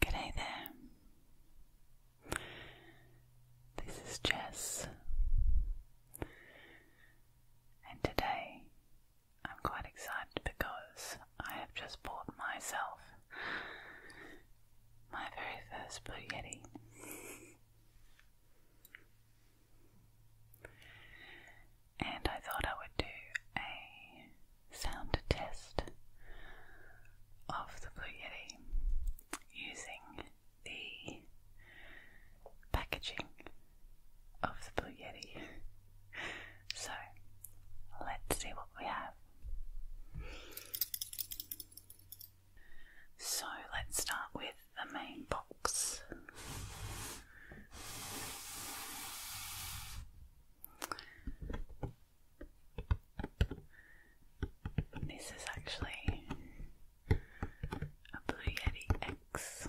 Good day there. This is Jess, and today I'm quite excited because I have just bought myself my very first Blue Yeti. and I thought I would do a sound test of the Blue Yeti using the packaging of the Blue Yeti. so let's see what we have. So let's start with the main box. This is actually a Blue Yeti X.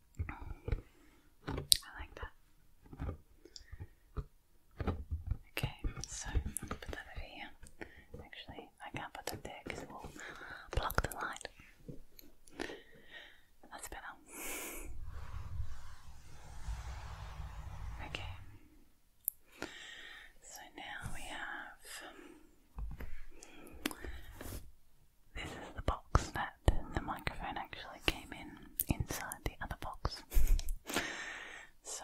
I like that. Okay, so put that over here. Actually, I can't put that there because it will block the light. That's better. Okay. So now we have this is the box that the microphone actually came in inside the other box. so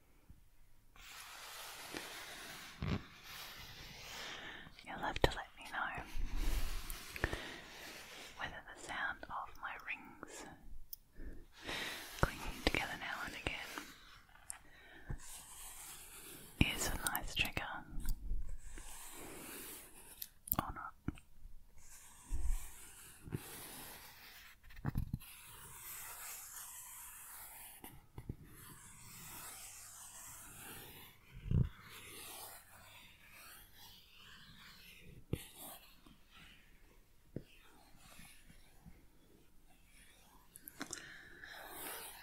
You'll have to let me know whether the sound of my rings clinging together now and again is a nice trigger or not.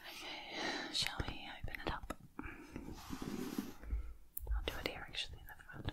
Okay, shall we open it up? I'll do it here actually, never mind.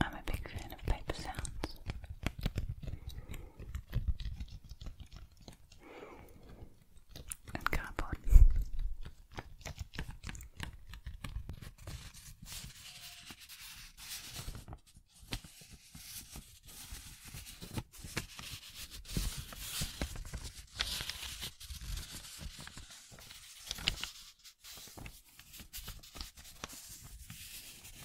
I'm a big fan of paper sounds and cardboard.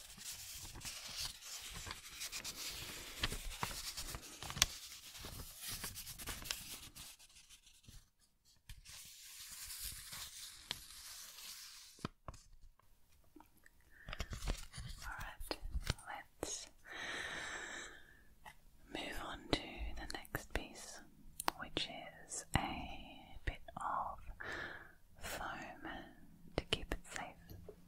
Alright, let's move on to the next piece, which is a bit of foam to keep it safe.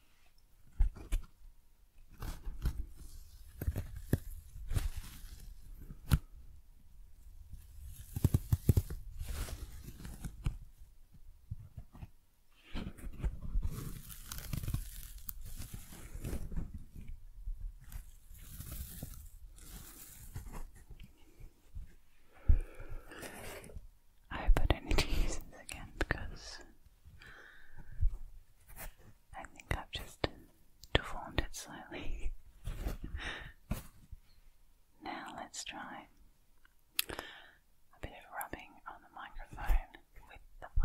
I hope don't need to use this again because I think I've just deformed it slightly. now let's try a bit of rubbing on the microphone with the phone.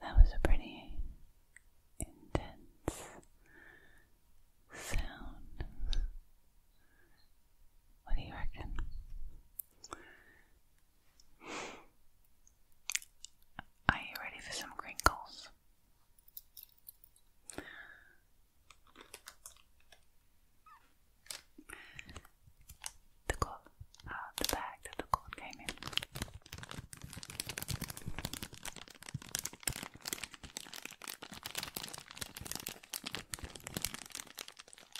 That was a pretty intense sound. What do you reckon? Are you ready for some crinkles? The coat, uh, the bag the coat came in.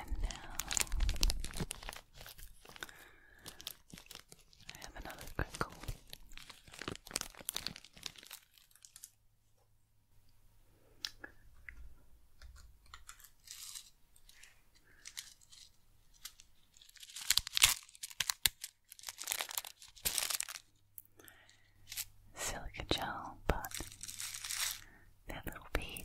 And now I have another crinkle. Silica gel, but that little beads.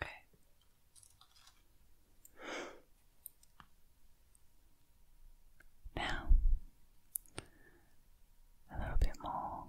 Okay. Now, a little bit more foam.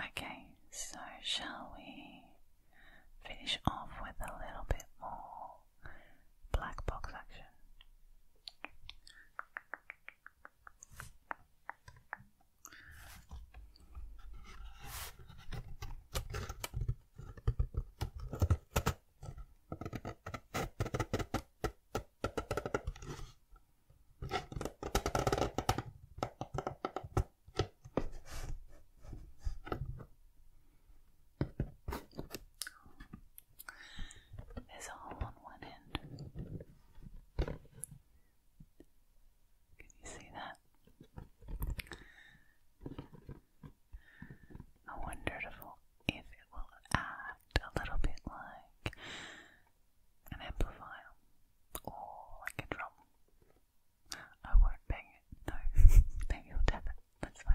Okay, so shall we finish off with a little bit more black box action. It's all on one end. Can you see that? I wonder if it will act a little bit like an amplifier or like a drum. I won't bang it, no, maybe I'll tap it. That's us find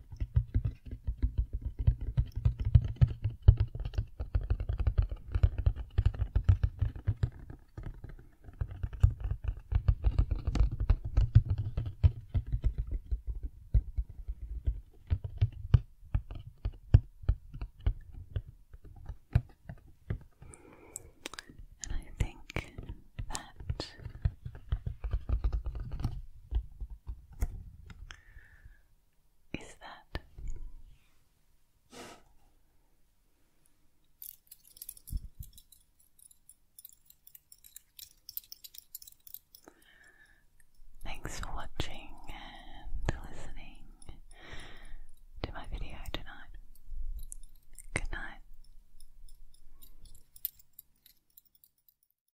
And I think that is that. Thanks for watching and listening to my video tonight. Good night.